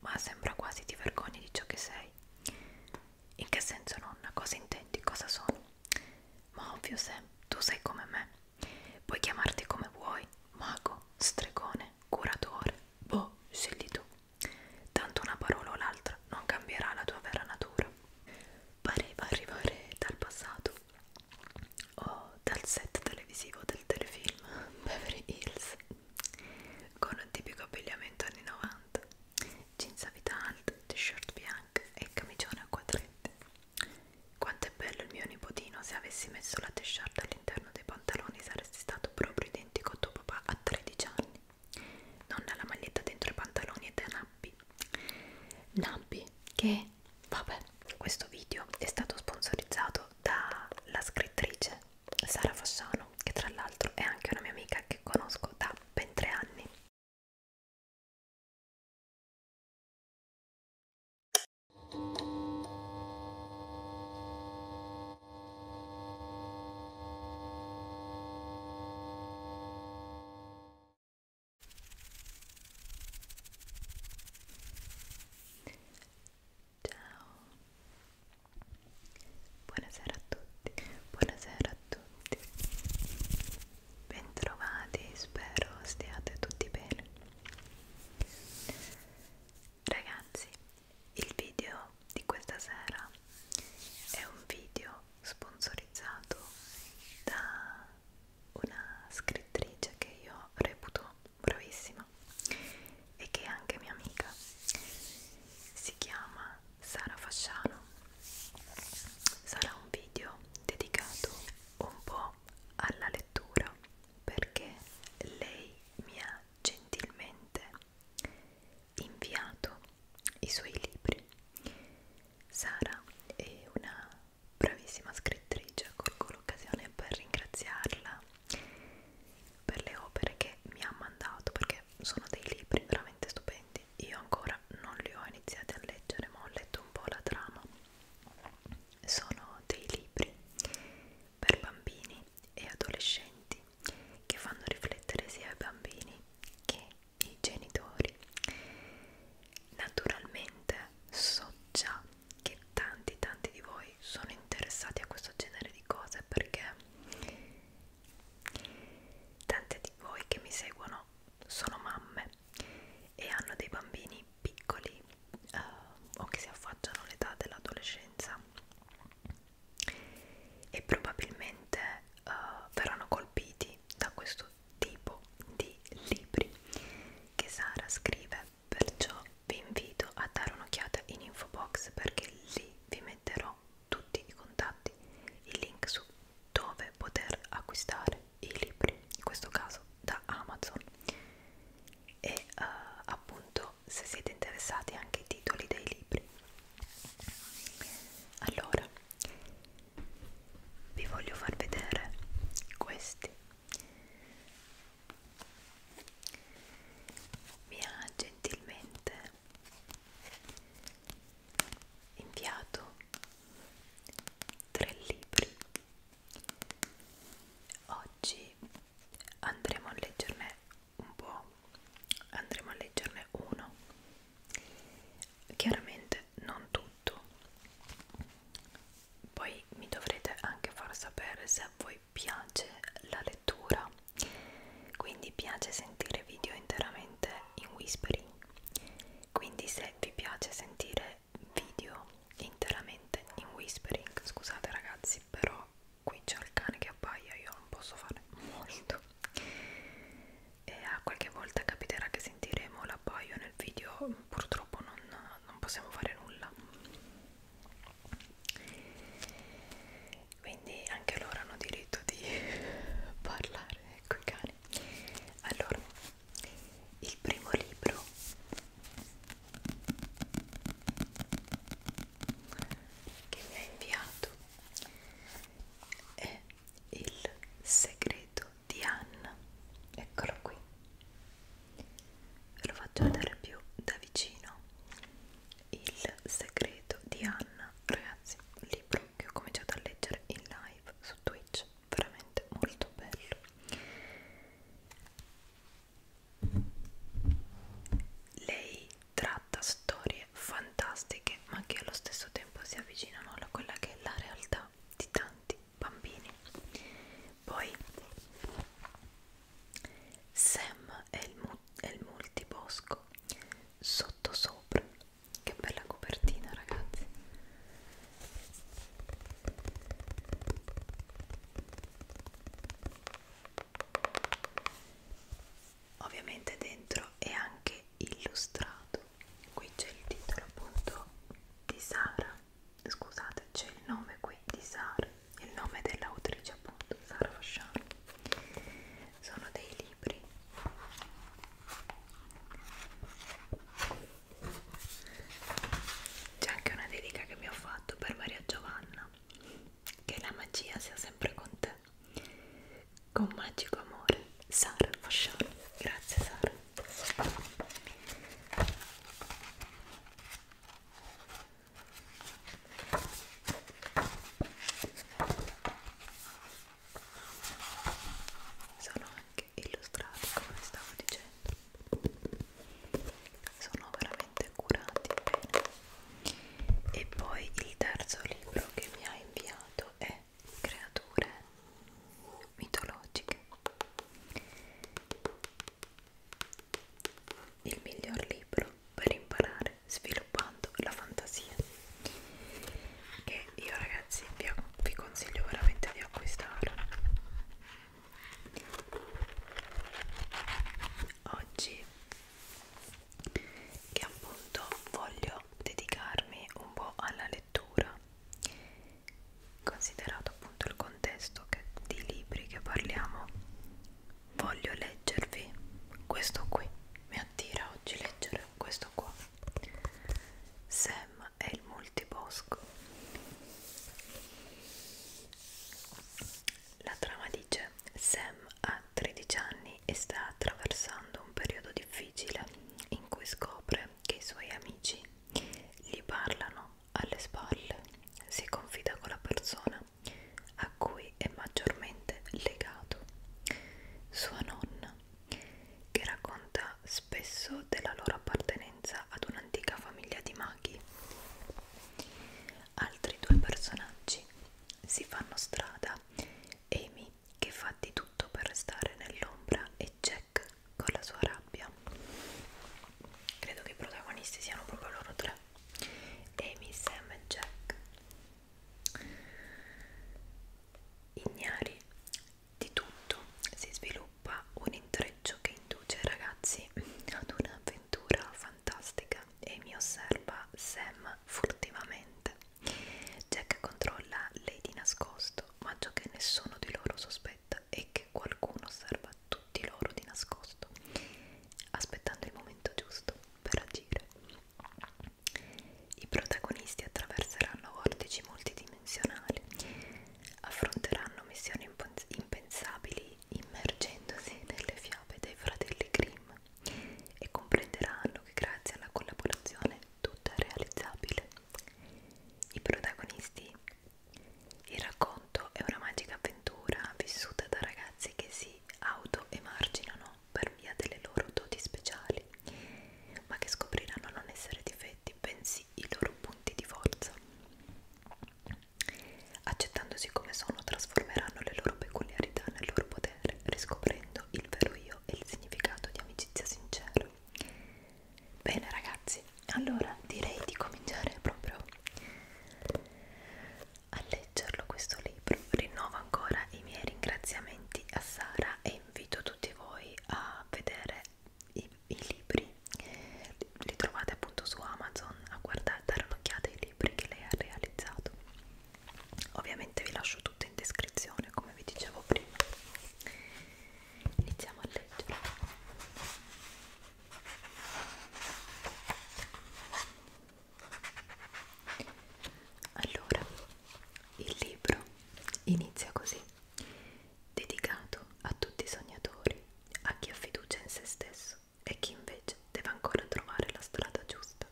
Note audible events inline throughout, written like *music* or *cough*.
Ma sembra quasi ti vergogni di ciò che sei. In che senso, nonna? Cosa intendi? Cosa sono? Ma ovvio, Sam, tu sei come me. Puoi chiamarti come vuoi, mago, stregone, curatore, boh, scegli tu. Tanto una parola o l'altra non cambierà la tua vera natura. Pareva arrivare dal passato o dal set televisivo del telefilm Beverly Hills con un tipico abbigliamento anni 90 jeans a vita alta, t-shirt bianca e camicione a quadretti quanto è bello il mio nipotino se avessi messo la t-shirt all'interno dei pantaloni saresti stato proprio identico a tuo papà a 13 anni nonna la maglietta dentro i pantaloni ed è Nappi Nappi che vabbè questo video è stato sponsorizzato dalla scrittrice Sara Fossano, che tra l'altro è anche una mia amica che conosco da ben tre anni. Ciao. Buonasera a tutti. Buonasera a tutti. Bentrovati, spero stiate tutti bene. Ragazzi, il video di questa sera è un video sponsorizzato da una scrittrice che io reputo bravissima e che è anche mia amica si chiama Sara Fasciano sarà un video dedicato un po' alla lettura perché lei mi ha gentilmente inviato i suoi libri Sara è una bravissima scrittrice colgo l'occasione per ringraziarla per le opere che mi ha mandato perché sono dei libri veramente stupendi io ancora non li ho iniziati a leggere ma ho letto un po' la trama sono dei libri per bambini e adolescenti che fanno riflettere sia i bambini che i genitori naturalmente so già che tanti tanti di voi voi sono interessati a questo genere di cose perché tante di voi che mi seguono sono mamme e hanno dei bambini piccoli eh, o che si affacciano all'età dell'adolescenza e probabilmente eh, verranno colpiti da questo tipo di libri che Sara scrive perciò vi invito a dare un'occhiata in info box perché lì vi metterò tutti i contatti, i link su dove poter acquistare i libri, in questo caso da Amazon e eh, appunto se siete interessati anche ai titoli dei libri. Allora, vi voglio far vedere questi mi ha gentilmente inviato tre libri oggi andremo a leggerne un po' andremo a leggerne uno chiaramente non tutto poi mi dovrete anche far sapere se a voi voi piace la lettura quindi piace sentire video interamente in whispering quindi se vi piace sentire video interamente in whispering scusate ragazzi però qui c'è il cane che appaia io non posso fare molto e a qualche volta capiterà che sentiremo l'appaio nel video purtroppo non, non possiamo fare nulla quindi anche loro hanno diritto di *laughs* parlare coi cani allora il primo libro che mi ha inviato è il segreto di Anna eccolo qui ve lo faccio vedere più da vicino il segreto di Anna, ragazzi, un libro che ho cominciato a leggere in live su Twitch, veramente molto bello. Lei tratta storie fantastiche, ma che allo stesso tempo si avvicinano a quella che è la realtà di tanti bambini. Poi Sam è il, mu è il multibosco sotto sopra. Che bella copertina, ragazzi! Ovviamente dentro è anche illustrato. Qui c'è il titolo appunto di Sara. Scusate, c'è il nome qui di Sara il nome dell'autrice appunto, Sara Fasciano sono dei libri c'è anche una dedica che mi ho fatto per Maria Giovanna che la magia sia sempre con te con magico amore Sara Fasciano grazie Sara sono anche illustrati come stavo dicendo sono veramente curati bene e poi il terzo libro che mi ha inviato è creature mitologiche il miglior libro per imparare sviluppando la fantasia che io ragazzi vi, vi consiglio veramente di acquistare oggi che appunto voglio dedicarmi un po' alla lettura considerato appunto il contesto che, di libri che parliamo voglio leggervi questo qui mi attira oggi leggere questo qua Sam e il multibosco la trama dice Sam ha 13 anni e sta attraversando un periodo difficile in cui scopre che i suoi amici gli parlano alle spalle si confida con la persona a cui è maggiormente legato, sua nonna, che racconta spesso della loro appartenenza ad un'antica famiglia di maghi. Altri due personaggi si fanno strada, Amy che fa di tutto per restare nell'ombra e Jack con la sua rabbia. Credo che i protagonisti siano proprio loro tre. Amy, Sam e Jack ignari di tutto si sviluppa un intreccio che induce i ragazzi ad un'avventura fantastica Amy osserva Sam furtivamente Jack controlla lei di nascosto ma ciò che nessuno di loro sospetta è che qualcuno osserva tutti loro di nascosto aspettando il momento giusto per agire. I protagonisti attraverseranno vortici multidimensionali, affronteranno missioni impensabili immergendosi nelle fiabe dei fratelli Grimm e comprenderanno che grazie alla collaborazione tutto è realizzabile. I protagonisti il racconto è una magica avventura vissuta da ragazzi che si si autoemarginano per via delle loro doti speciali, ma che scopriranno non essere difetti, bensì i loro punti di forza. Accettandosi come sono, trasformeranno le loro peculiarità nel loro potere, riscoprendo il vero io e il significato di amicizia sincera. Bene ragazzi, allora direi di cominciare proprio a leggerlo questo libro rinnova ancora i miei ringraziamenti a Sara e invito tutti voi a vedere i, i libri, li trovate appunto su Amazon, a guardare, dare un'occhiata ai libri che lei ha realizzato. Ovviamente vi lascio tutto in descrizione come vi dicevo prima. Iniziamo a leggere. Allora, il libro inizia così, dedicato a tutti i sognatori, a chi ha fiducia in se stesso e chi invece deve ancora trovare la strada giusta.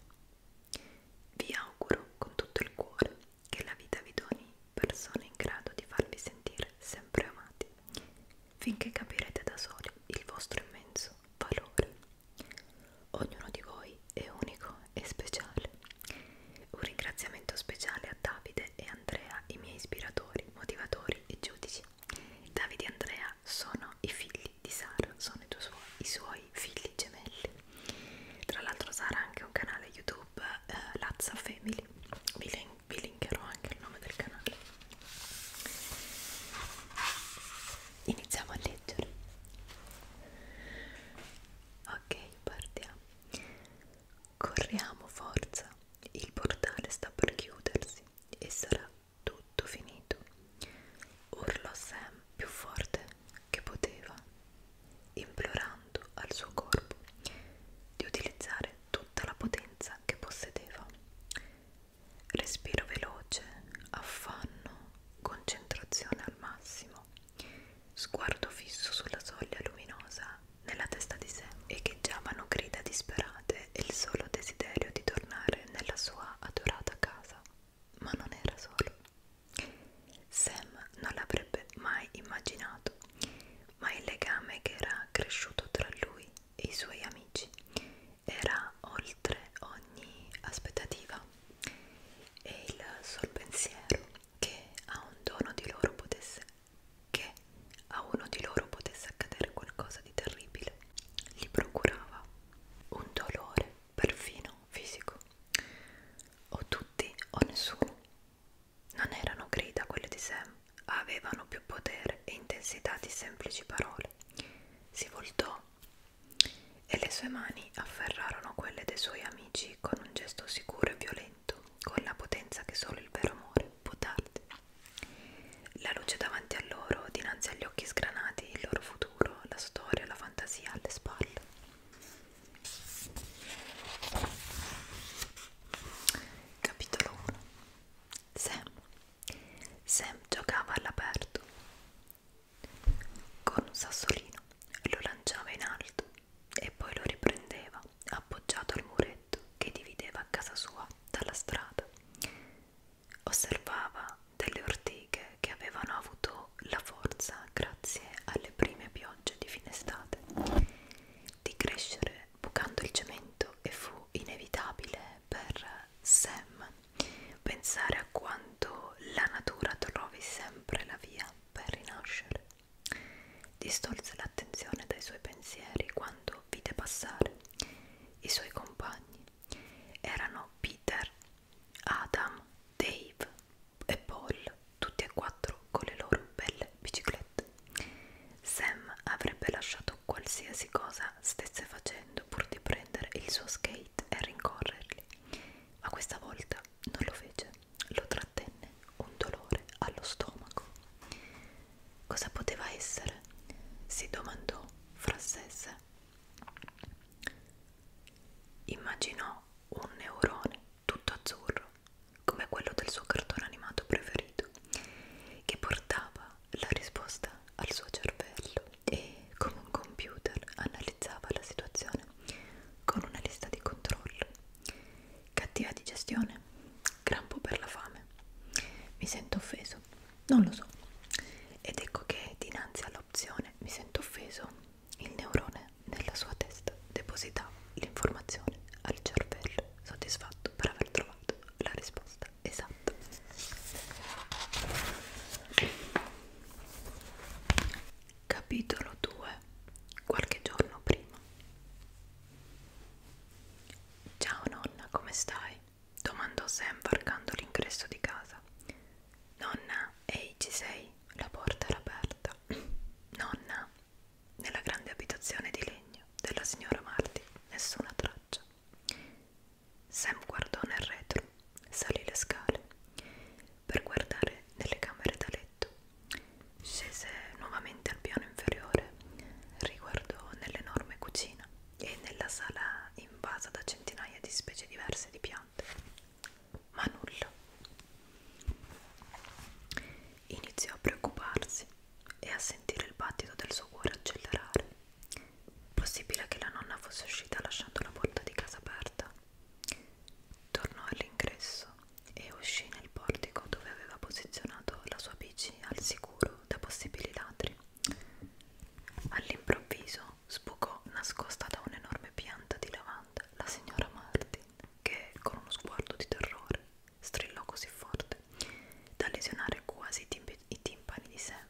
Vi auguro con tutto il cuore che la vita vi doni persone in grado di farvi sentire sempre amati, finché capirete da soli il vostro immenso valore Ognuno di voi è unico e speciale. Un ringraziamento speciale a Davide e Andrea, i miei ispiratori, motivatori e giudici. Davide e Andrea sono i figli di Sara, sono i, suoi, i suoi figli gemelli. Tra l'altro Sara ha anche un canale YouTube, eh, Lazza Family, vi, link, vi linkerò anche il nome del canale iniziamo a leggere ok partiamo corriamo forza il portale sta per chiudersi e sarà tutto finito urlò Sam più forte che poteva implorando al suo corpo di utilizzare tutta la potenza che possedeva respiro veloce, affanno, concentrazione al massimo, sguardo fisso sulla soglia luminosa, nella testa di sé echeggiavano grida disperate e il solo desiderio di tornare nella sua adorata casa. Ma non era solo. Sam non l'avrebbe mai immaginato, ma il legame che era cresciuto tra lui e i suoi amici era oltre ogni aspettativa e il sol pensiero che a un dono di loro potesse che a uno di loro potesse accadere qualcosa di terribile gli procurava un dolore perfino fisico o tutti o nessuno non erano grida quelle di Sam avevano più potere e intensità di semplici parole si voltò e le sue mani afferrarono quelle dei suoi amici con un gesto sicuro e violento, con la potenza che solo il vero amore può darti. La luce davanti a loro, dinanzi agli occhi sgranati, il loro futuro, la storia, la fantasia alle spalle. Capitolo 1 Sam Sam giocava all'aperto con un sassolino, lo lanciava in alto e poi lo riprendeva appoggiato al muretto che divideva casa sua dalla strada. Osservava delle ortighe che avevano avuto la forza, grazie alle prime piogge di fine estate, di crescere bucando il cemento e fu inevitabile per Sam pensare a quanto la natura trovi sempre la via per rinascere. Distolse l'attenzione dai suoi pensieri quando vide passare i suoi compagni. Erano Peter, Adam, Dave e Paul, tutti e quattro con le loro belle biciclette. Sam avrebbe lasciato qualsiasi cosa stesse facendo pur di prendere il suo skate e rincorrerli, ma questa volta non lo fece, lo trattenne un dolore allo stomaco. Cosa poteva essere? si domandò fra sé sé. Immaginò un neurone tutto azzurro, come quello del suo cartone animato preferito, che portava la risposta al suo cervello e, come un computer, analizzava la situazione con una lista di controllo. Cattiva digestione, crampo per la fame. Mi sento offeso, non lo so. Ed ecco che dinanzi all'opzione mi sento offeso, il neurone nella sua testa depositava l'informazione al cervello soddisfatto per aver trovato la risposta giusta, esatto, esatto. Capitolo 2. Qualche giorno prima. Ciao nonna, come stai? domandò Sam varcando l'ingresso di casa. Nonna, ehi, ci sei? La porta era aperta. Nonna, nella grande abitazione di legno della signora Marti, nessuna traccia. Sam guardò nel retro, salì le scale per guardare nelle camere da letto, scese nuovamente al piano inferiore, riguardò nell'enorme cucina e nella sala invasa da centinaia di specie diverse di piante, ma nulla. Iniziò a preoccuparsi e a sentire il battito del suo cuore accelerare. Possibile che la nonna fosse uscita lasciando la porta di casa aperta. Tornò all'ingresso e uscì nel portico dove aveva posizionato la sua bici al sicuro da possibili ladri. All'improvviso sbucò nascosta da un'enorme pianta di lavanda la signora Martin che, con uno sguardo di terrore, strillò così forte da lesionare quasi i timpani di Sam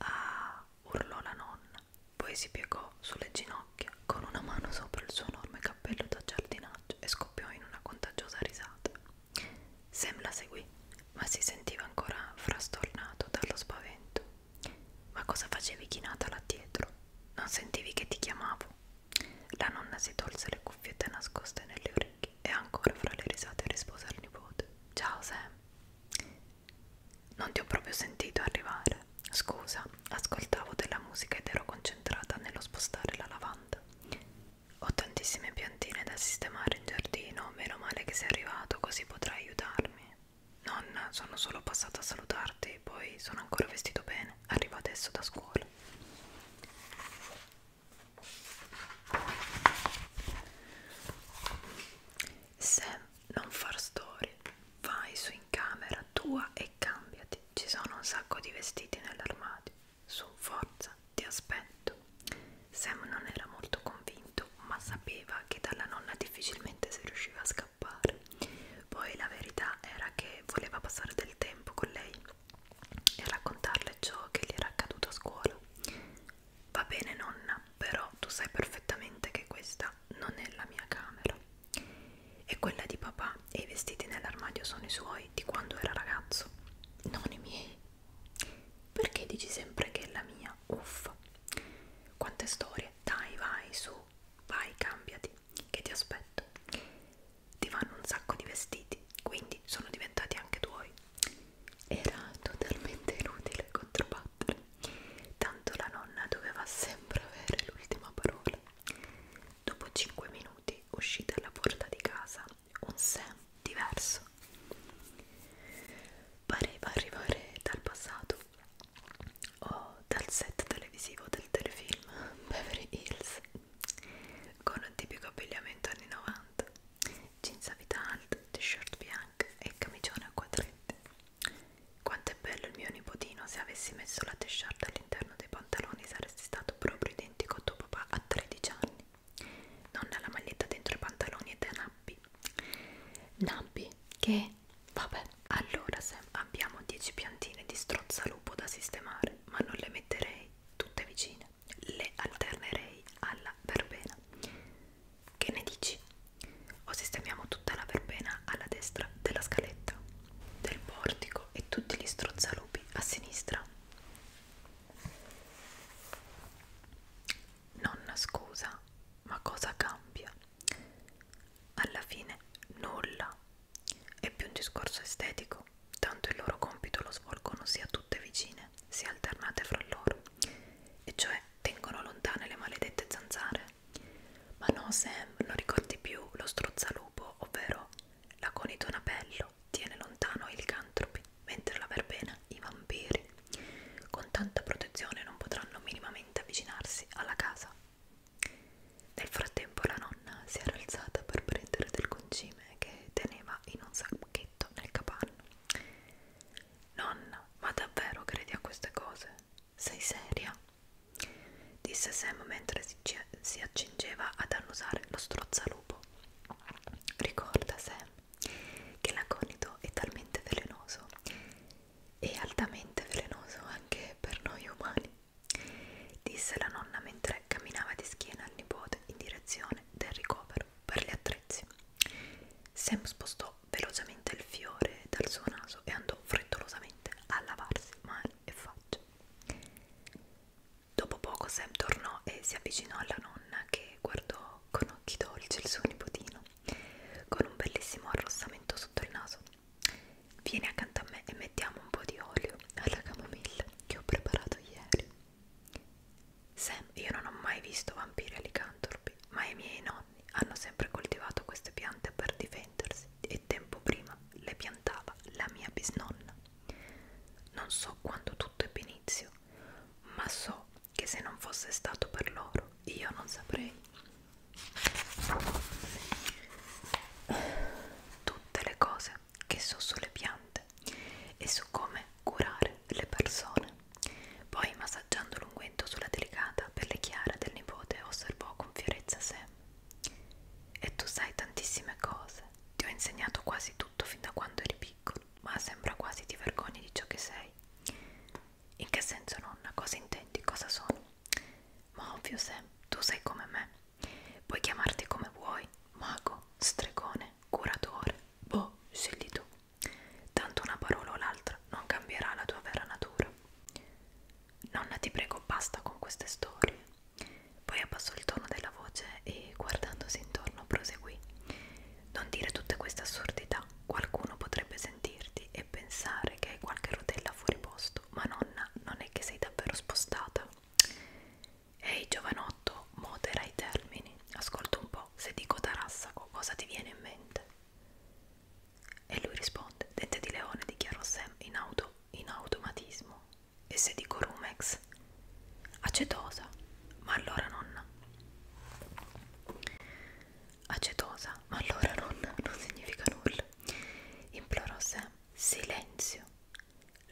Ah, urlò la nonna, poi si piegò sulle ginocchia con una mano sopra il suo enorme cappello da giardinaggio e scoppiò in una contagiosa risata. Sam la seguì, ma si sentiva ancora frastornato dallo spavento. Ma cosa facevi chinata là dietro? Non sentivi che ti chiamavo? La nonna si tolse le cuffiette nascoste nelle orecchie e ancora fra le risate rispose al nipote. Ciao Sam. Non ti ho proprio sentito arrivare. Scusa, ascoltavo della musica ed ero concentrata nello spostare la lavanda. Ho tantissime piantine da sistemare in giardino, meno male che sei arrivato, così potrai aiutarmi. Nonna, sono solo passata a salutarti, poi sono ancora vestito bene, arrivo adesso da scuola. Sam, non far storie, vai su in camera tua e cambiati, ci sono un sacco di vestiti nell'armadio, su forza, ti aspetto. Sam non era molto convinto, ma sapeva che dalla nonna difficilmente si riusciva a scappare. Poi la verità era che voleva passare del tempo con lei e raccontarle ciò che gli era accaduto a scuola. Va bene nonna, però tu sai perfettamente che questa non è la mia camera. È quella di papà e i vestiti nell'armadio sono i suoi di quando era ragazzo, non i miei. Perché dici sempre che è la mia? Uffa. Quante storie. Dai, vai, su, vai, cambiati, che ti aspetto. Ti vanno un sacco di vestiti, quindi sono diventati anche tuoi era totalmente inutile controbattere, tanto la nonna doveva sempre avere l'ultima parola. Dopo 5 minuti, uscita alla porta di casa, un Sam diverso. Pareva arrivare dal passato o dal set televisivo del telefilm Beverly Hills con un tipico abbigliamento anni 90 jeans a vita alta, t-shirt bianca black e camicione a quadretti. Quanto è bello il mio nipotino, se avessi messo la t-shirt all'interno dei pantaloni saresti stato proprio identico a tuo papà a 13 anni. Nonna la maglietta dentro i pantaloni ed è Nappi. Nappi, che? Vabbè. Allora Sam, abbiamo 10 piantine di strozzalupo da sistemare, ma non le metterei tutte vicine le alternerei alla verbena. Che ne dici? O sistemiamo tutta la verbena alla destra della scaletta, del portico e tutti gli strozzalupi a sinistra? Nonna scusa, ma cosa cambia? Alla fine nulla. È più un discorso estetico, tanto il loro compito lo svolgono sia tutte vicine, sia alternate fra loro e cioè tengono lontane le maledette zanzare. Ma no, Sam, non ricordi più lo strozzalupo, ovvero la conitonapello tiene lontano i licantropi, mentre la verbena i vampiri. Con tanta protezione non potranno minimamente avvicinarsi alla casa. Nel frattempo la nonna si era alzata per prendere del concime che teneva in un sacchetto nel capanno. Nonna, ma davvero credi a queste cose? Sei seria? disse Sam mentre si, si accingeva ad annusare lo strozzalupo. Ricorda, Sam, che l'aconito è talmente velenoso e altamente velenoso anche per noi umani, disse la nonna mentre camminava di schiena al nipote in direzione del ricovero per gli attrezzi. Sam spostò velocemente il fiore dal suo naso e andò frettolosamente a lavarsi mano e faccia. Dopo poco Sam tornò e si avvicinò alla nonna che guardò con occhi dolci il suo nipotino, con un bellissimo arrossamento sotto il naso. Vieni accanto a me e mettiamo un po' di olio alla camomilla che ho preparato ieri. Sam, io non ho mai visto vampiri alicantropi, ma i miei nonni hanno sempre coltivato queste piante per difendersi e tempo prima le piantava la mia bisnonna. Non so quando tutto ebbe inizio, ma so che se non fosse stato per loro io non saprei. Tutte le cose che so sulle piante e su come curare le persone. Poi, massaggiando l'unguento sulla delicata pelle chiara del nipote, osservò con fierezza sé. E tu sai tantissime cose, ti ho insegnato quasi tutto fin da quando eri piccolo, ma sembra quasi ti vergogni di ciò che sei. In che senso, nonna? Cosa intendi? Cosa sono? Ma ovvio, Sam, tu sei come me. Puoi chiamarti come vuoi, mago, stregone, curatore, boh, scegli tu. Tanto una parola o l'altra non cambierà la tua vera natura. Nonna, ti prego, basta con queste storie. Poi abbassò il tono della voce e, guardandosi intorno, proseguì. Non dire tutte queste assurdità. Qualcuno potrebbe sentirti e pensare che hai qualche rotella fuori posto, ma nonna, non è che sei davvero spostata. Ehi, giovanotto, modera i termini ascolta un po', se dico Tarassaco cosa ti viene in mente? E lui risponde, dente di leone, dichiarò Sam in, auto, in automatismo. E se dico Rumex? Acetosa, ma allora nonna. Acetosa, ma allora nonna, non significa nulla. Implorò Sam, silenzio.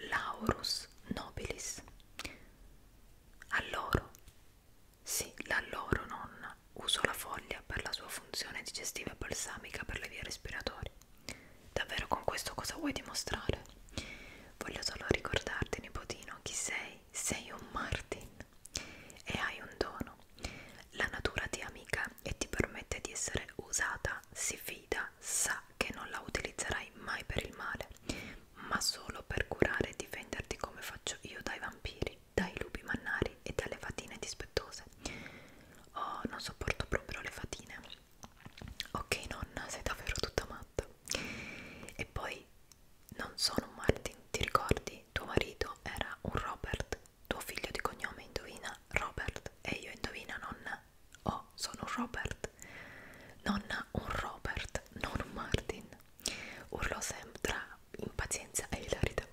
Laurus nobilis. Allora, sì, la loro nonna usò la foglia per la sua funzione digestiva e balsamica per le vie respiratorie. Davvero con questo cosa vuoi dimostrare? Voglio solo ricordarti, nipotino, chi sei. Sei un Martin e hai un dono. La natura ti amica e ti permette di essere usata, si fida, sa che non la utilizzerai mai per il male, ma solo per curare e difenderti come faccio io dai vampiri, dai lupi mannari e dalle fatine dispettose. Oh, non sopporto proprio le fatine. Ok nonna, sei davvero tutta matta. E poi, non sono un Martin, ti ricordi? Tuo marito era un Robert, tuo figlio di cognome indovina Robert e io indovina nonna. Oh, sono un Robert. Nonna, un Robert, non un Martin urlò Sam tra impazienza e ilarità.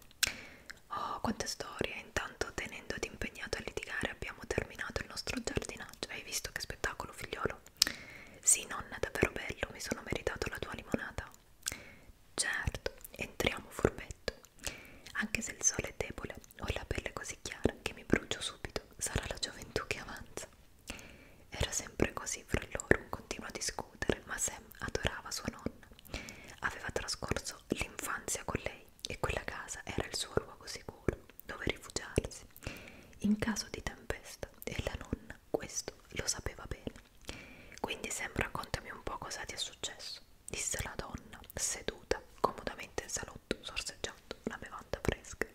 Oh, quante storie! Intanto, tenendoti impegnato a litigare, abbiamo terminato il nostro giardinaggio. Hai visto che spettacolo, figliolo? Sì, nonna, davvero bello, mi sono meritato la tua limonata. Certo, entriamo furbetto. Anche se il sole è debole, ho la pelle così chiara che mi brucio subito. Sarà la gioventù che avanza. Era sempre così fra loro, un continuo a discutere, ma Sam adorava sua nonna. Aveva trascorso l'infanzia con lei e quella casa era il suo luogo sicuro dove rifugiarsi in caso di tempesta e la nonna questo lo sapeva bene. Quindi Sam raccontami un po' cosa ti è successo, disse la donna seduta comodamente in salotto sorseggiando una bevanda fresca.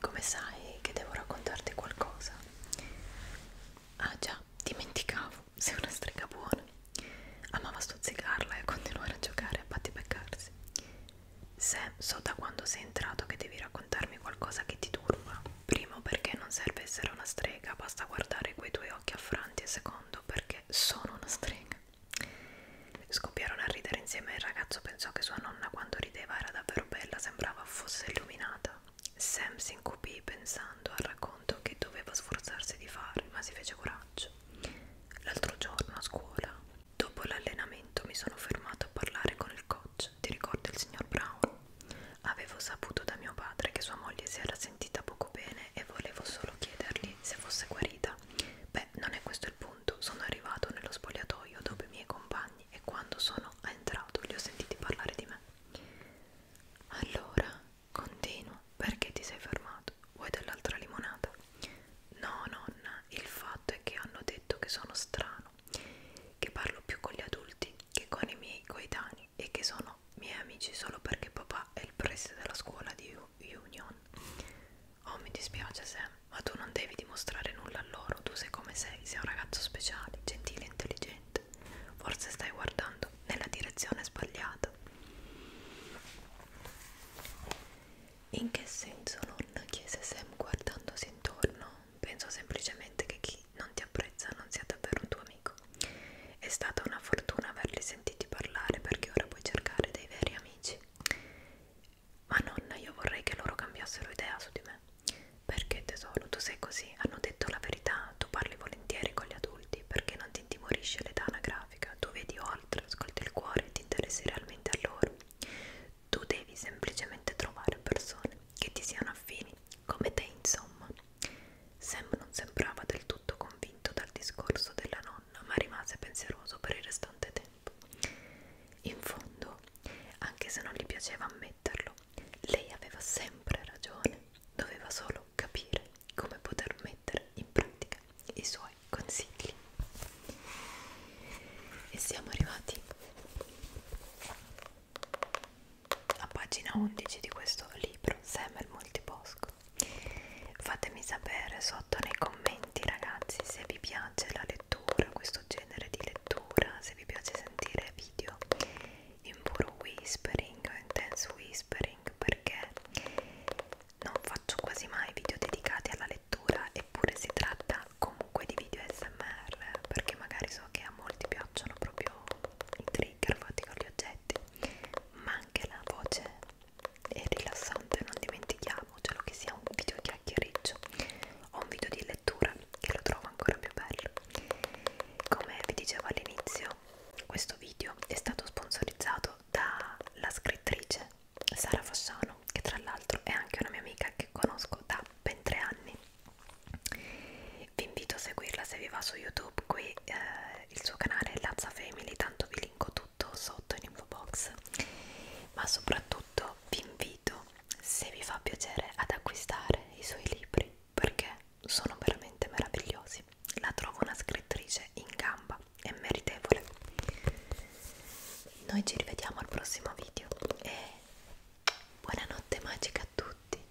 Come sai che devo raccontarti qualcosa? Ah già, dimenticavo, *laughs* sei una strega buona. Amava stuzzicarla e continuare a giocare a battipeccarsi. Se so da quando sei entrato che devi raccontarmi qualcosa che ti turba. Primo perché non serve essere una strega, basta guardare quei tuoi occhi affranti e secondo perché sono una strega. Scoppiarono a ridere insieme e il ragazzo pensò che sua nonna quando rideva era davvero bella, sembrava fosse illuminata. Sam si incupì pensando al racconto che doveva sforzarsi di fare, ma si fece coraggio. L'altro giorno a scuola, dopo l'allenamento, mi sono fermato a parlare con il coach. Ti ricordi il signor Brown? Avevo saputo da mio padre che sua moglie si era sentita poco bene e volevo solo chiedergli se fosse guarita. Beh, non è questo il punto. Sono arrivato nello spogliatoio dove i miei compagni e quando sono entrato li ho sentiti parlare di me. Allora, continua, perché ti sei fermato? Vuoi dell'altra limonata? No, nonna, il fatto è che hanno detto che sono strano, che parlo più con gli adulti che con i miei coetanei e che sono miei amici solo perché papà è il preside della scuola di Union. Oh, mi dispiace Sam, ma tu non devi dimostrare nulla a loro, tu sei come sei, sei un ragazzo speciale, gentile e intelligente. Forse stai guardando nella direzione sbagliata. In che senso non? chiese Sam guardandosi intorno. Penso semplicemente che chi non ti apprezza non sia davvero un tuo amico. È stata una fortuna averli sentiti parlare perché ora puoi cercare dei veri amici amici ma nonna io vorrei che loro cambiassero idea su di me perché tesoro tu sei così hanno detto la verità tu parli volentieri con gli adulti perché non ti intimorisce l'età anagrafica tu vedi oltre ascolti il cuore e ti interessi realmente a loro tu devi semplicemente trovare persone che ti siano affini come te insomma Sam non sembrava del tutto convinto dal discorso della nonna nonno, ma rimase pensieroso per il restante tempo. In fondo, anche se non gli piaceva ammetterlo, lei aveva sempre ragione, doveva solo capire come poter mettere in pratica i suoi consigli. E siamo arrivati a pagina 11 di questo libro, Sam e il multiposco fatemi sapere sotto nei commenti ragazzi se vi piace la lettura questo genere di lettura se vi piace sentire video in puro whispering o intense whispering perché non faccio quasi mai video dedicati alla lettura eppure si tratta comunque di video smr perché magari so che a molti piacciono proprio i trigger fatti con gli oggetti ma anche la voce è rilassante, non dimentichiamocelo che sia un video chiacchiericcio o un video di lettura che lo trovo ancora più bello. Come vi dicevo all'inizio, questo video è stato sponsorizzato dalla scrittrice Sara Fasciano, che tra l'altro è anche una mia amica che conosco da ben tre anni. Vi invito a seguirla se vi va su YouTube, qui eh, il suo canale è Lazza Family, tanto vi linko tutto sotto in info box ma soprattutto vi invito se vi fa piacere ad acquistare i suoi libri perché sono veramente meravigliosi la trovo una scrittrice in gamba e meritevole noi ci rivediamo al prossimo video e buonanotte magica a tutti